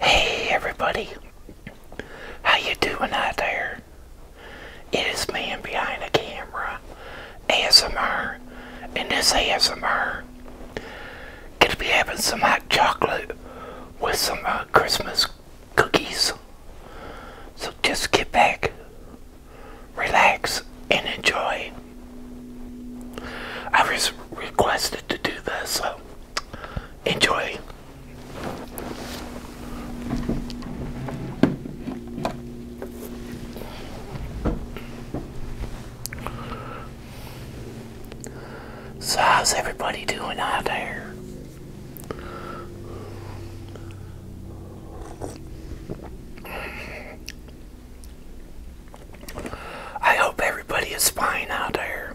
Hey everybody, how you doing out there? It is man behind the camera, ASMR, and this ASMR. Gonna be having some hot chocolate with some uh, Christmas cookies. So just get back, relax, and enjoy. I was requested to do this, so enjoy. So, how's everybody doing out there? I hope everybody is fine out there.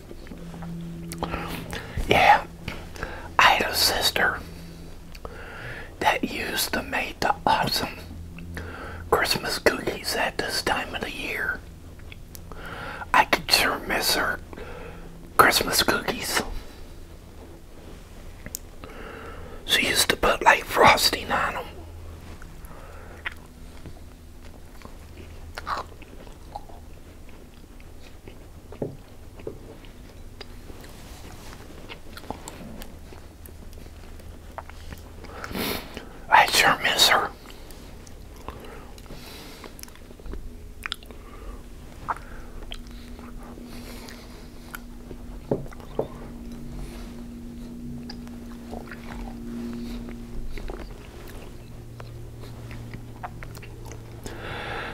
Yeah, I had a sister that used to make the awesome Christmas cookies at this time of the year. I could sure miss her Christmas cookies. She used to put like frosting on them. I sure miss her.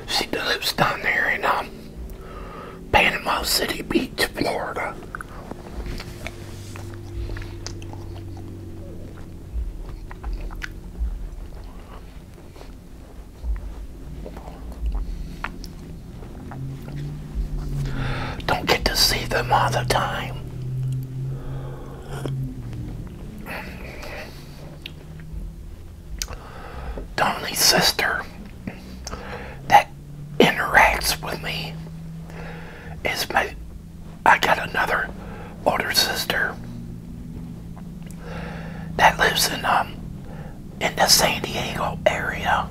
She lives down there in um, Panama City Beach, Florida. Don't get to see them all the time. Tony's sister that interacts with me is my I got another older sister that lives in um in the San Diego area.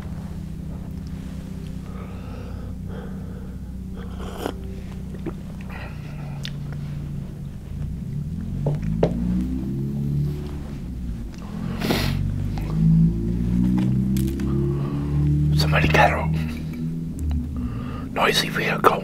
Somebody get a noisy vehicle.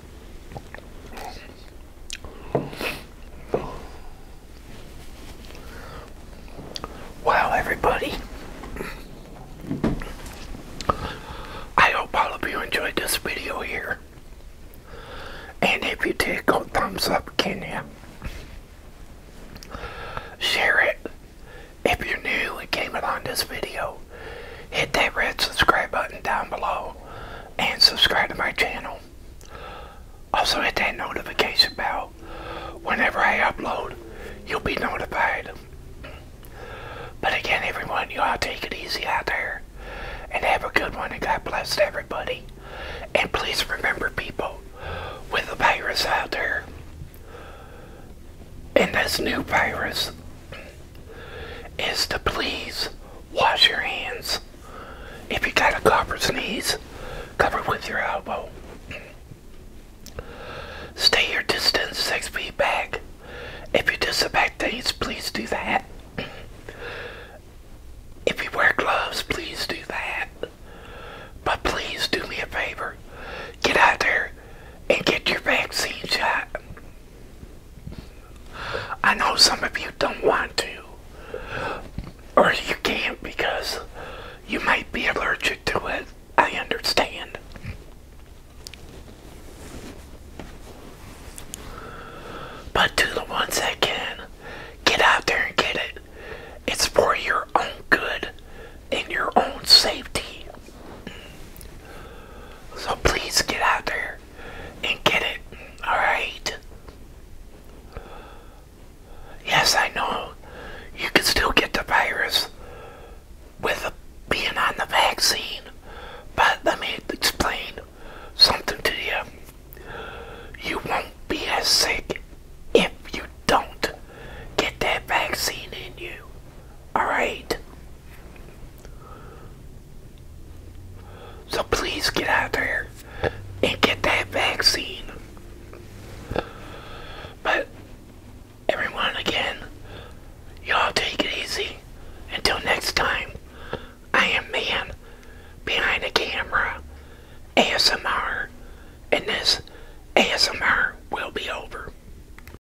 Wow, everybody. I hope all of you enjoyed this video here. And if you did, go thumbs up, Kenya. Share it. If you're new and came along this video, hit that red subscribe button down below and subscribe to my channel. Also hit that notification bell. Whenever I upload, you'll be notified. But again, everyone, you all take it easy out there. And have a good one, and God bless everybody. And please remember, people, with the virus out there, and this new virus, is to please wash your hands. If you got a cough or sneeze, cover with your elbow. Stay your distance six feet back. If you disinfect things, please do that. If you wear gloves, please do that. But please do me a favor. Get out there and get your vaccine shot. I know some of you don't want to, or you can't because you might be allergic to it. I understand. But to the ones that can, get out there and get it. It's for your own good and your own safety. So please get out there and get it, alright? Yes, I know you can still get the virus with being on the vaccine, but let me explain something to you. You won't be as sick if you don't get that vaccine in you, alright? So please get out there and get that vaccine. But everyone again, y'all take it easy. Until next time, I am man behind the camera ASMR and this ASMR will be over.